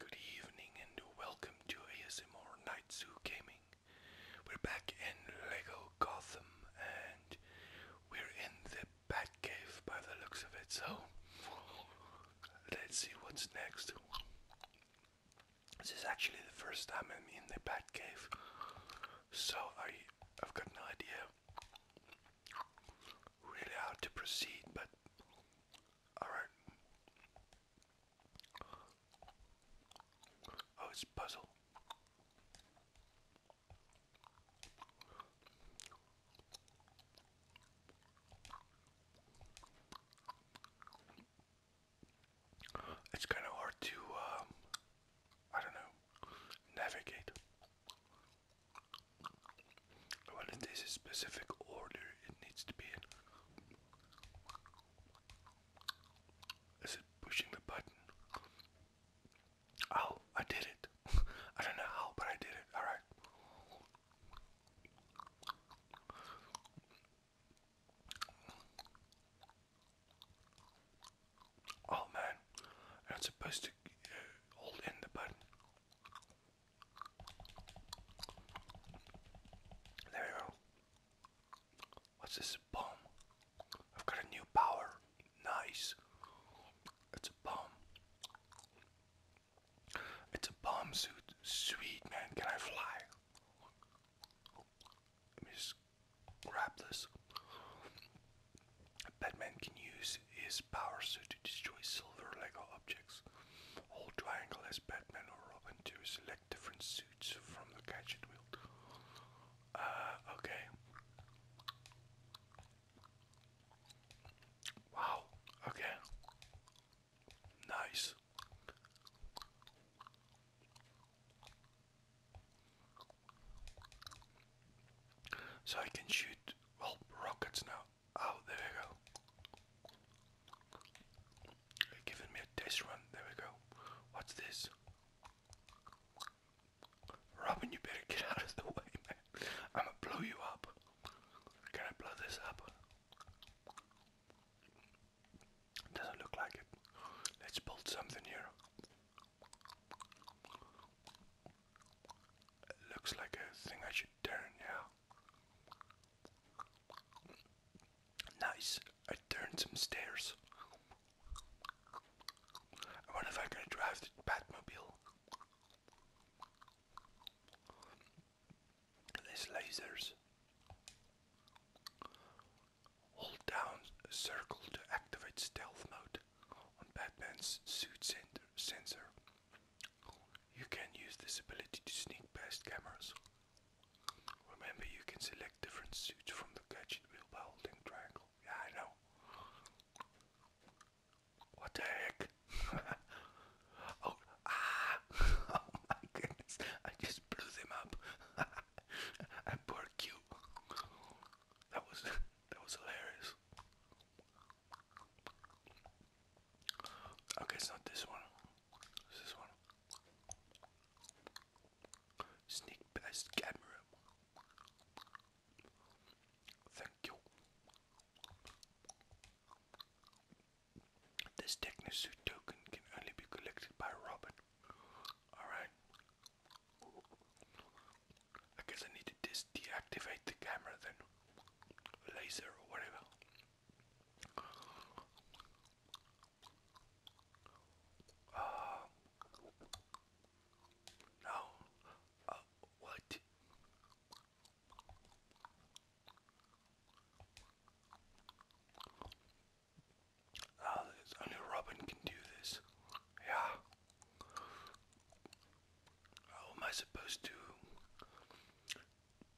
Good evening and welcome to ASMR Night Zoo Gaming. We're back in Lego Gotham and we're in the Bat Cave by the looks of it, so let's see what's next. This is actually the first time I'm in the Bat Cave, so I, I've got no idea really how to proceed, but all right. Oh, it's puzzle. It's kind of hard to, um, I don't know, navigate. When it is a specific order, it needs to be Is it pushing the button? Oh, I did it. I don't know how, but I did it. Alright. Oh man, you supposed to uh, hold in the button. There we go. What's this? Bomb. I've got a new power. Nice. It's a bomb. It's a bomb suit. Sweet man. Can I fly? Let me just grab this. Batman can use his powers to destroy silver Lego objects. Hold triangle as Batman or Robin to select different suits from the gadget wheel. Uh, okay. Wow, okay. Nice. So I can shoot, well, rockets now. Oh, there we go. giving me a test run. There we go. What's this? Robin, you better get out of the way, man. I'ma blow you up. Can I blow this up? Doesn't look like it. Let's build something here. looks like a thing I should turn, yeah. Nice. I turned some stairs. I wonder if I can drive the Batmobile. There's lasers. Hold down circle to activate stealth mode on Batman's suit sensor. You can use this ability to sneak past cameras. Remember, you can select different suits from the gadget wheel by holding triangle. Yeah, I know. What the heck? oh, ah! oh my goodness, I just blew them up. and poor Q. That was that was hilarious. Okay, it's not this one. this one. Sneak past camera. Thank you. This Technosuit can only be collected by Robin. Alright. I guess I need to deactivate the camera then laser or whatever. Ah, no, uh, what? Ah, only Robin can do this. Yeah. How am I supposed to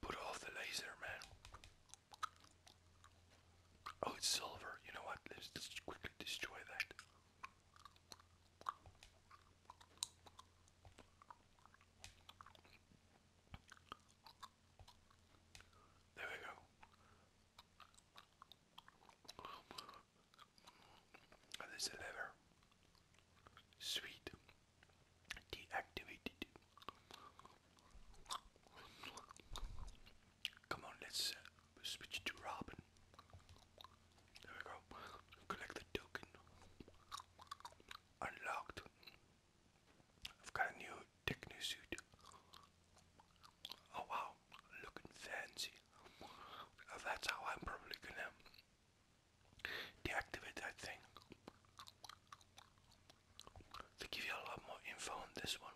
Put off the laser, man. Oh, it's silver. You know what? Let's just quickly destroy that. There we go. And there's a Sweet deactivated. Come on, let's uh, switch to Robin. There we go. Collect the token. Unlocked. I've got a new techno suit. Oh wow, looking fancy. That's how I'm probably gonna deactivate that thing. They give you a lot more info on this one,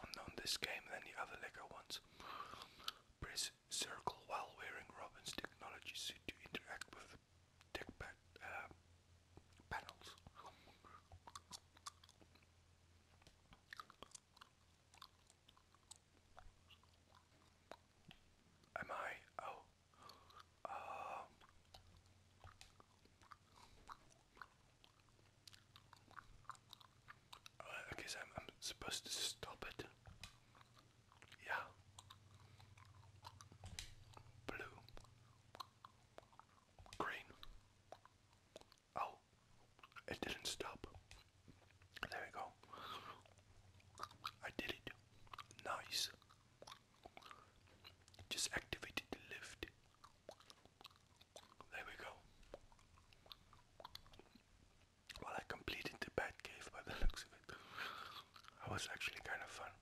on, this game than the other LEGO ones. Press circle while wearing Robin's technology suit to interact with the tech pad, uh, panels. Am I? Oh, uh, I am I'm supposed to stop it. Yeah. Blue. Green. Oh, it didn't stop. There we go. I did it. Nice. Just activated the lift. There we go. Well, I completed the bat cave by the looks of it. That was actually kind of fun.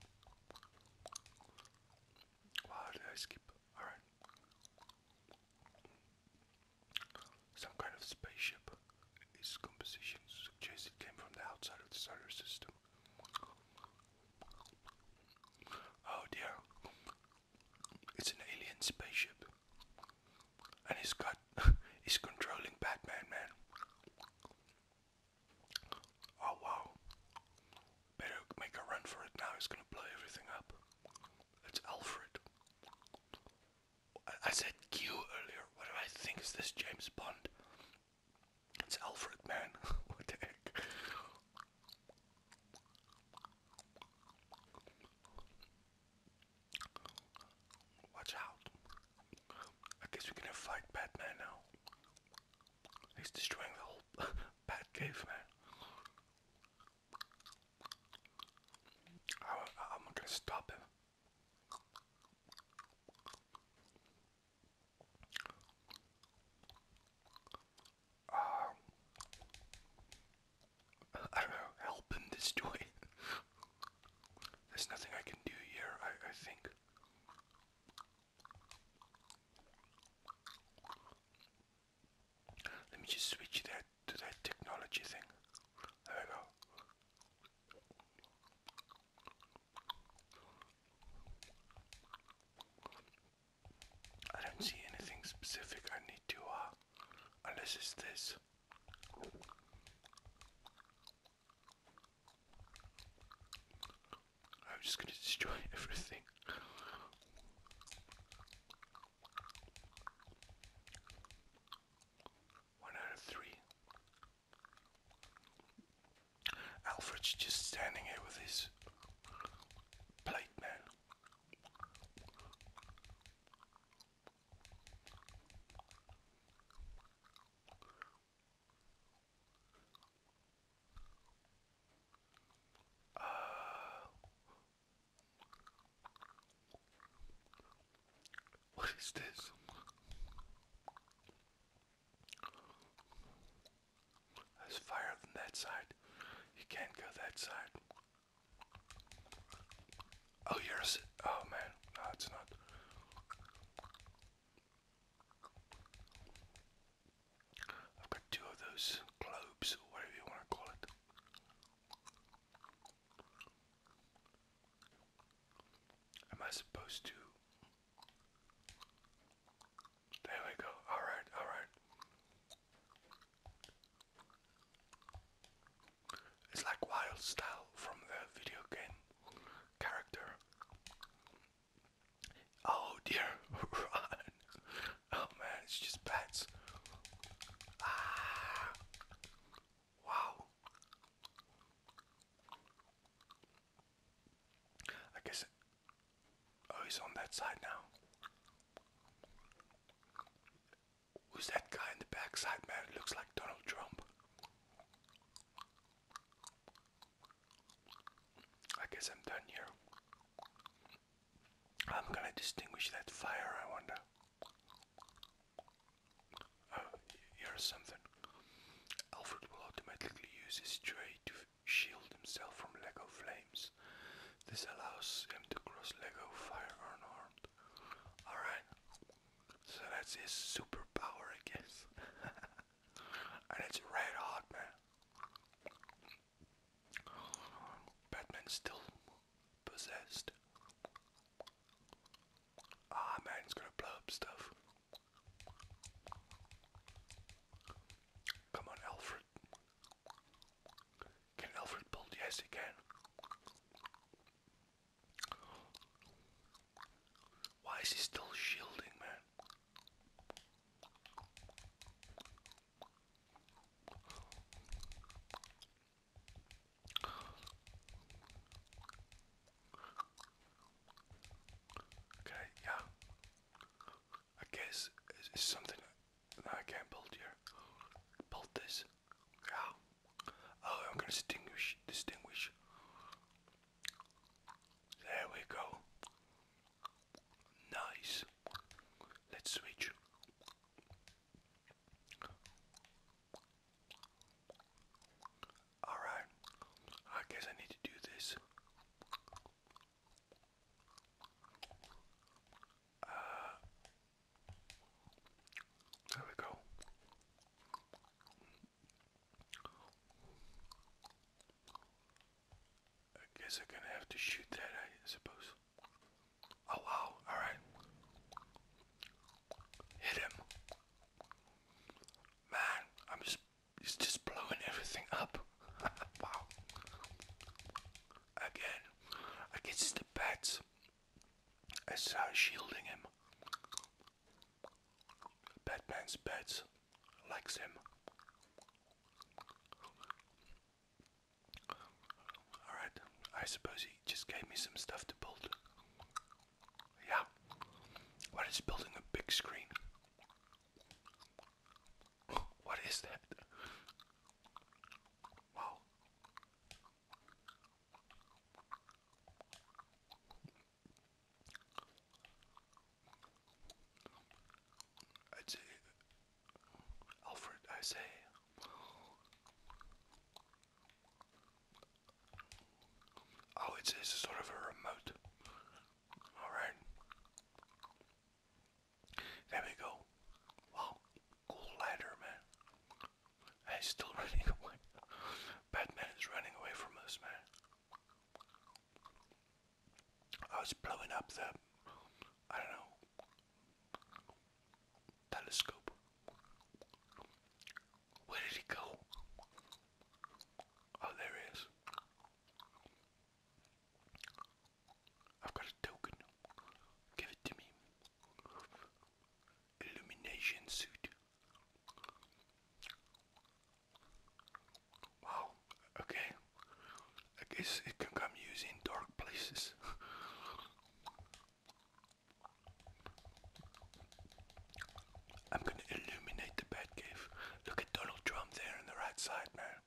Wow, did I skip? Alright. Some kind of spaceship. Its composition suggests came from the outside of the solar system. Oh dear. It's an alien spaceship. And he's got he's controlling Batman man. Oh wow. Better make a run for it now, he's gonna blow everything up. It's Alfred. I, said Q earlier. What do I think is this James Bond? It's Alfred, man. what the heck? Watch out. I guess we can have fight Batman now. He's destroying the whole Bat Cave, man. I'm gonna stop him. I don't know, help him this There's nothing I can do here, I, I think. Let me just switch that to that technology thing. There we go. I don't see anything specific I need to, uh, unless it's this. I'm just gonna destroy everything. One out of three. Alfred's just standing here with his plate man. Uh, what is this? There's fire than that side. You can't go that side. Oh, you're oh man, no, it's not. I've got two of those globes, whatever you want to call it. Am I supposed to there we go. All right, all right. It's like wild style from the video game character. Oh dear, Oh man, it's just bats. Ah. Wow. I guess. oh, he's on that side now. Who's that guy in the backside, man? looks like Donald Trump. I guess I'm done here. I'm gonna distinguish that fire, I wonder. Uh, here's something. Alfred will automatically use his tray to shield himself from Lego flames. This allows him to cross Lego fire unharmed. Alright, so that's his superpower, I guess. and it's red hot, man. Batman's still possessed. Ah, man, gonna blow up stuff. Come on, Alfred. Can Alfred build? Yes, he can. Why is he still shielding, man? Okay, yeah. I guess it's, something that I can not build here. Build this. Yeah. Oh, I'm gonna distinguish. Distinguish. There we go. Nice. Let's switch. Alright, I guess I need to do this. Uh, there we go. I guess I'm gonna have to shoot that, I suppose. Oh wow, alright. Hit him. Man, I'm just he's just blowing everything up. wow. Again, against the bats. I start shielding him. Batman's bats likes him. Alright, I suppose he just gave me some stuff to build. Yeah. What is building a big screen? What is that? Wow. i say, Alfred, I say, Oh, it's, it's sort of a remote. Alright. There we go. Wow, cool ladder, man. Hey, still running away. Batman is running away from us, man. I was blowing up the, I don't know, telescope. Where did he go? Oh, there I've got a token. Give it to me. Illumination suit. Wow, okay. I guess it can come used dark places. I'm gonna illuminate the Batcave. Look at Donald Trump there on the right side, man.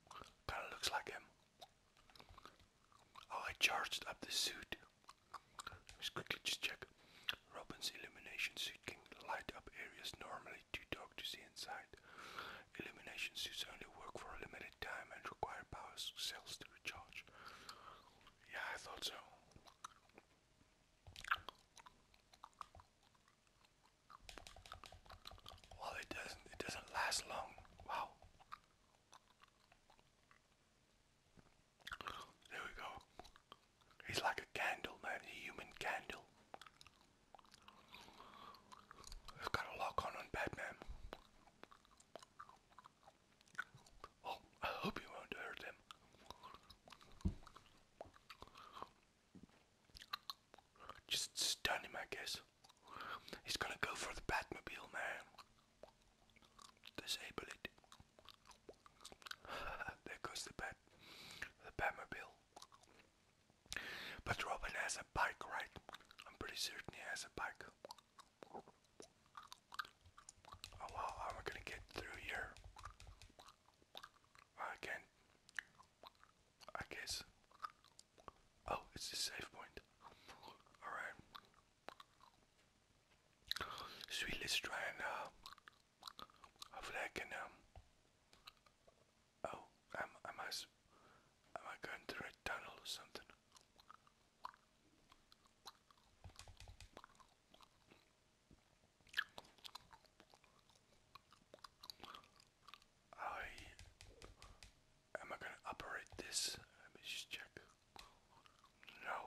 Kinda looks like him. Oh, I charged up the suit. let quickly just check. Robin's illumination suit can light up areas normally too dark to see inside. Illumination suits only work for a limited time and require power cells to recharge. Yeah, I thought so. Well, it doesn't it doesn't last long. Wow. There we go. He's like a candle, man, a human candle. I've got a lock on on Batman. Well, oh, I hope you won't hurt him. Just stun him, I guess. He's gonna go for the Batmobile, man. Disable it. there goes the Bat, the Batmobile. But Robin has a bike, right? I'm pretty certain he has a bike. Oh wow, how am I gonna get through here? Again, I guess. Oh, it's a safe point. Alright. Sweet, let's try and uh, hopefully I can um. Oh, am am I am I going through a tunnel or something? I am I gonna operate this? Let me just check. No.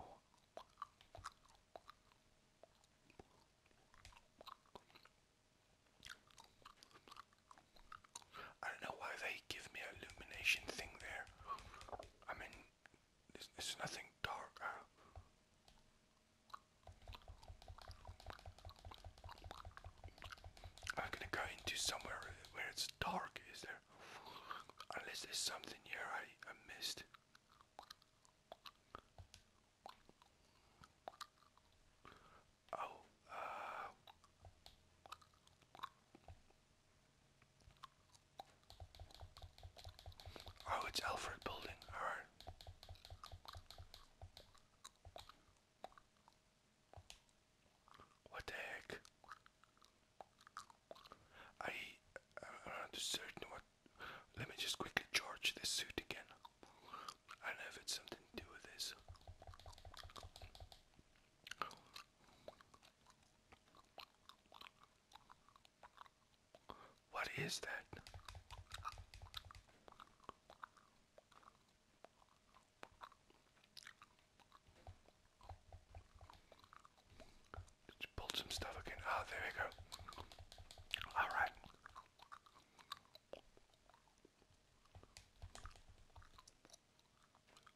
I don't know why they give me illumination thing there. I mean, there's, nothing dark. I'm gonna go into somewhere where it's dark, is there? Unless there's something here I, I missed. Oh, uh. Oh, it's Alfred Building, alright. What the heck? I I'm not certain what. Let me just quickly charge this suit again. I know if it's something to do with this. What is that? Just pulled some stuff again. Oh, there we go. All right.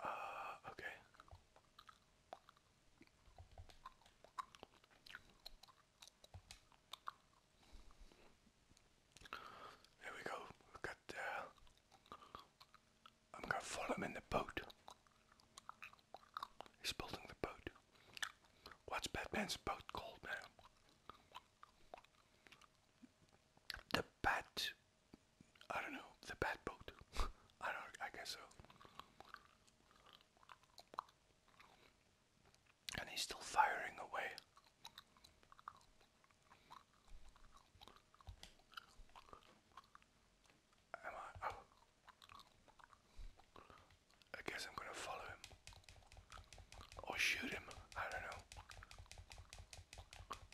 Uh, okay. There we go. We've uh, I'm gonna follow him in the boat. He's building the boat. What's Batman's boat called now? The Bat. I don't know. The Bat boat. I don't. I guess so and he's still firing away. Am I? Oh. I guess I'm gonna follow him. Or shoot him. I don't know.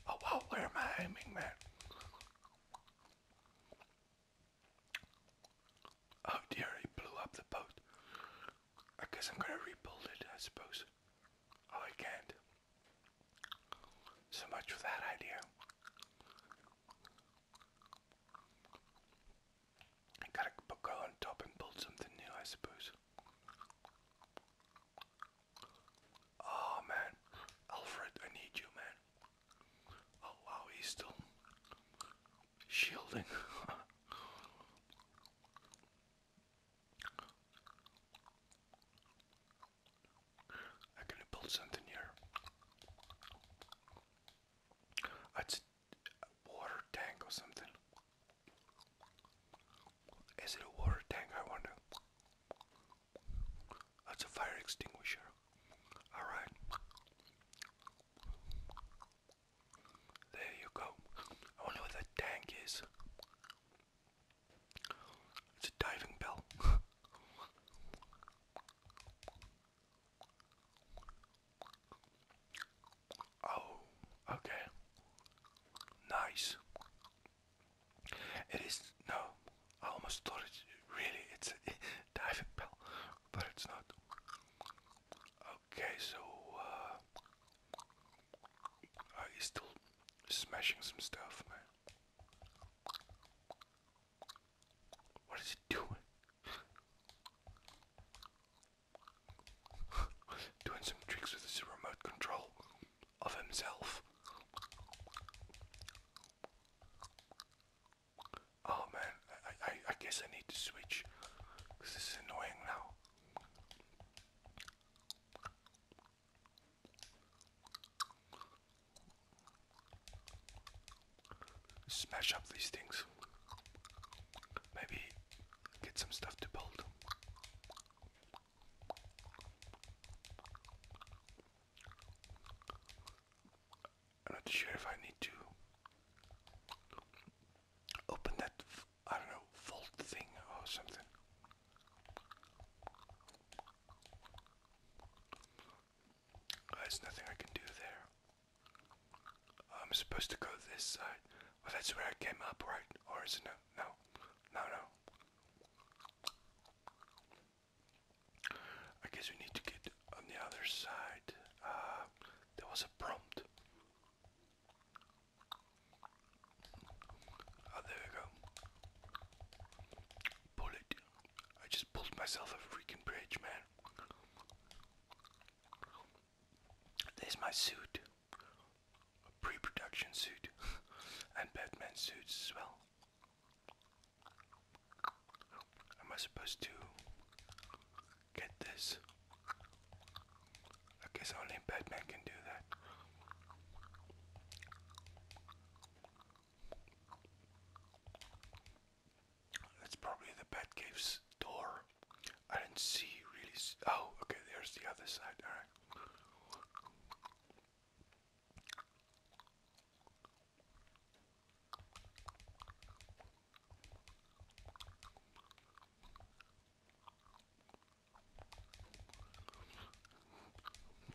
Oh wow, where am I aiming, man? Oh dear, he blew up the boat. I guess I'm gonna rebuild it, I suppose. Oh, I can't. So much for that idea. I gotta go on top and build something new, I suppose. Oh man, Alfred, I need you, man. Oh wow, he's still shielding. I'm gonna build something here. It's a water tank or something. Is it a water tank? I wonder. That's a fire extinguisher. Alright. There you go. I wonder what that tank is. It's a diving bell. oh, okay. Nice. It is no. I almost thought it really it's a diving bell, but it's not. Okay, so uh, uh, still smashing some stuff, man. What is he doing? doing some tricks with his remote control of himself. Oh man, I, I, I guess I need to switch because this is annoying now. Smash up these things. Maybe get some stuff to build. I'm not sure if I need to open that, I don't know, vault thing or something. Oh, there's nothing I can do there. I'm supposed to go this side. Well, oh, that's where I came up, right? Or is it no? No. No, no. I guess we need to get on the other side. Uh, there was a prompt. Oh, there we go. Bullet. I just pulled myself a freaking bridge, man. There's my suit. A pre production suit. and Batman suits as well. Am I supposed to Get this. I guess only Batman can do that. That's probably the Batcave's door. I didn't see really. oh, okay, there's the other side. Alright.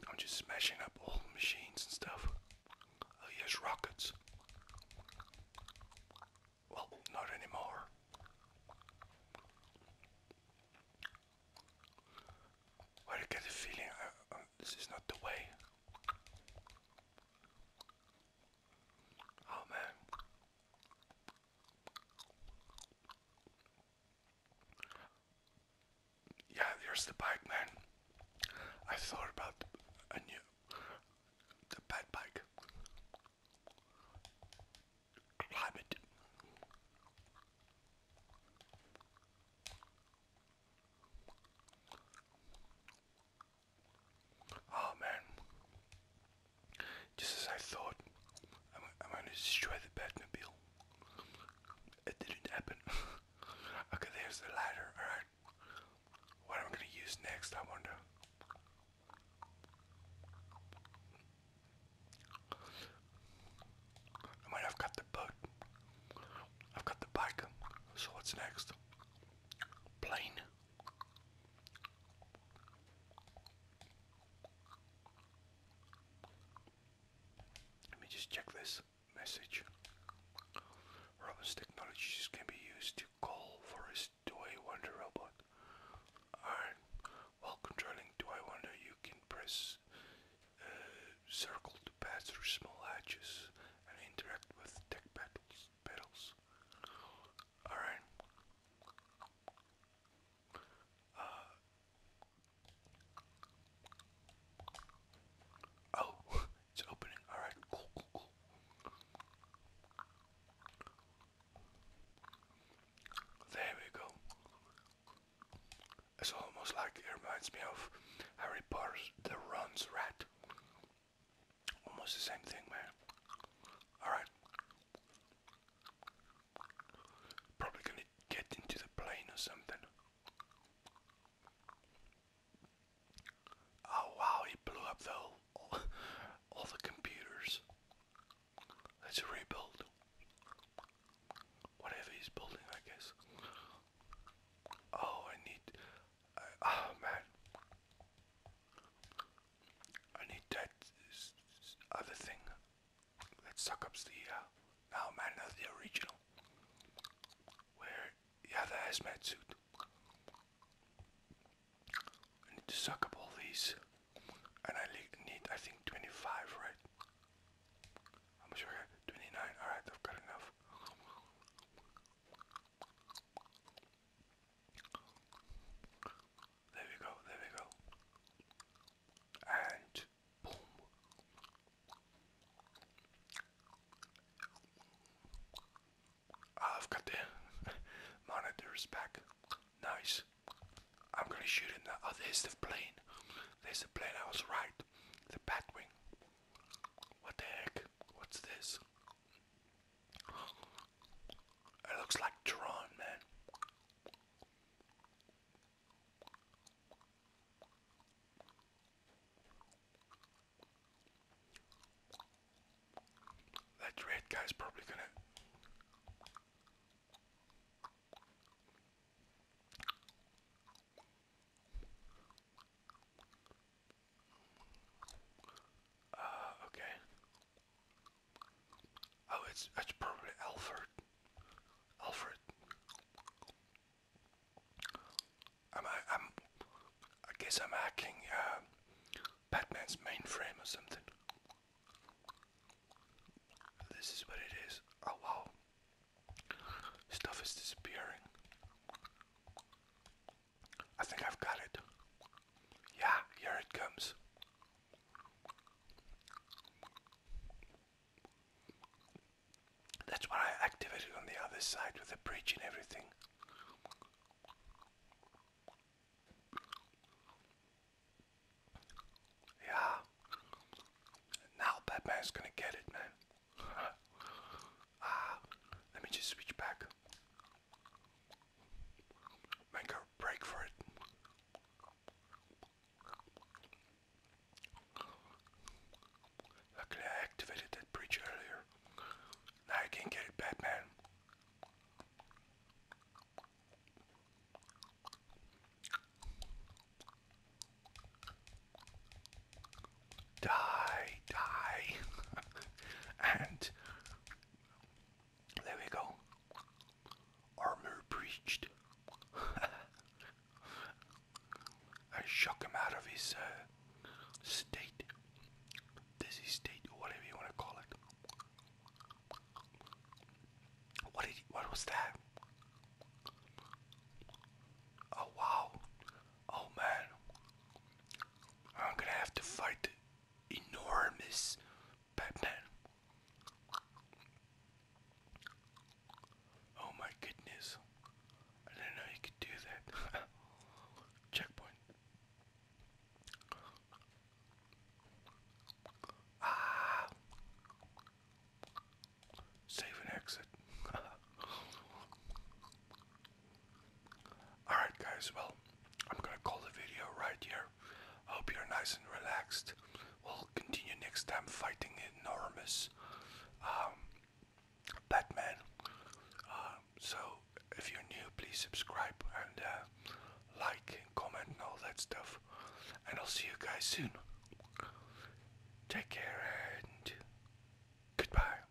I'm just smashing up old machines and stuff. Oh, yes, rockets. Well, not anymore. I get the feeling uh, uh, this is not the way. Oh man. Yeah, there's the bike, man. I thought about a new, the bad bike. Climate. Oh man. Just as I thought, I'm, I'm gonna destroy the Batmobile. It didn't happen. okay, there's the ladder, alright. What am I gonna use next, I wonder? I mean, I've got the boat. I've got the bike. So what's next? Plane. Let me just check this message. Robin's technologies can be used to call for his Do Wonder robot. while controlling Do Wonder, you can press uh, circle to pass through small hatches and interact with tech battles petals. Alright. Uh, oh, it's opening. Alright, cool, cool, cool. There we go. It's almost like it reminds me of Harry Potter's The Runs Rat. Almost the same thing, man. Alright. Probably gonna get into the plane or something. Oh wow, he blew up the all, all the computers. Let's rebuild. Whatever he's building, I guess. Oh, I need. oh man. I need that other thing that suck up the now uh, man of the original where you have the hazmat suit. I need to suck up all these and I need I think 25 right? I'm sure 29 alright I've got enough. There we go, there we go. And boom. I've got the monitors back. Nice. I'm gonna shoot it now. Oh, there's the plane. There's the plane I was right. The Batwing. What the heck? What's this? It looks like Tron, man. That red guy's probably gonna. Uh, okay. Oh, it's it's probably Alfred. Alfred. I'm I'm I guess I'm hacking uh, Batman's mainframe or something. This is what it is. Oh wow. Stuff is disappearing. I think I've got it. Yeah, here it comes. That's what I activated on the other side with the bridge and everything. Yeah. Now Batman's gonna get it, man. ah, let me just switch back make a break for it. Luckily, I activated that breach earlier. Now I can get it, Batman. Die, die, and there we go. Armor breached. I shook him out of his uh, state, dizzy state, or whatever you want to call it. What did? what was that? Oh wow! Oh man! I'm gonna have to fight enormous Batman. Oh my goodness. I didn't know you could do that. Checkpoint. Ah. Save and exit. Alright, guys, well, I'm gonna call the video right here. hope you're nice and relaxed. We'll continue next time fighting enormous um, Batman. Um, so, if you're new, please subscribe and uh, like comment and all that stuff. And I'll see you guys soon. Take care and goodbye.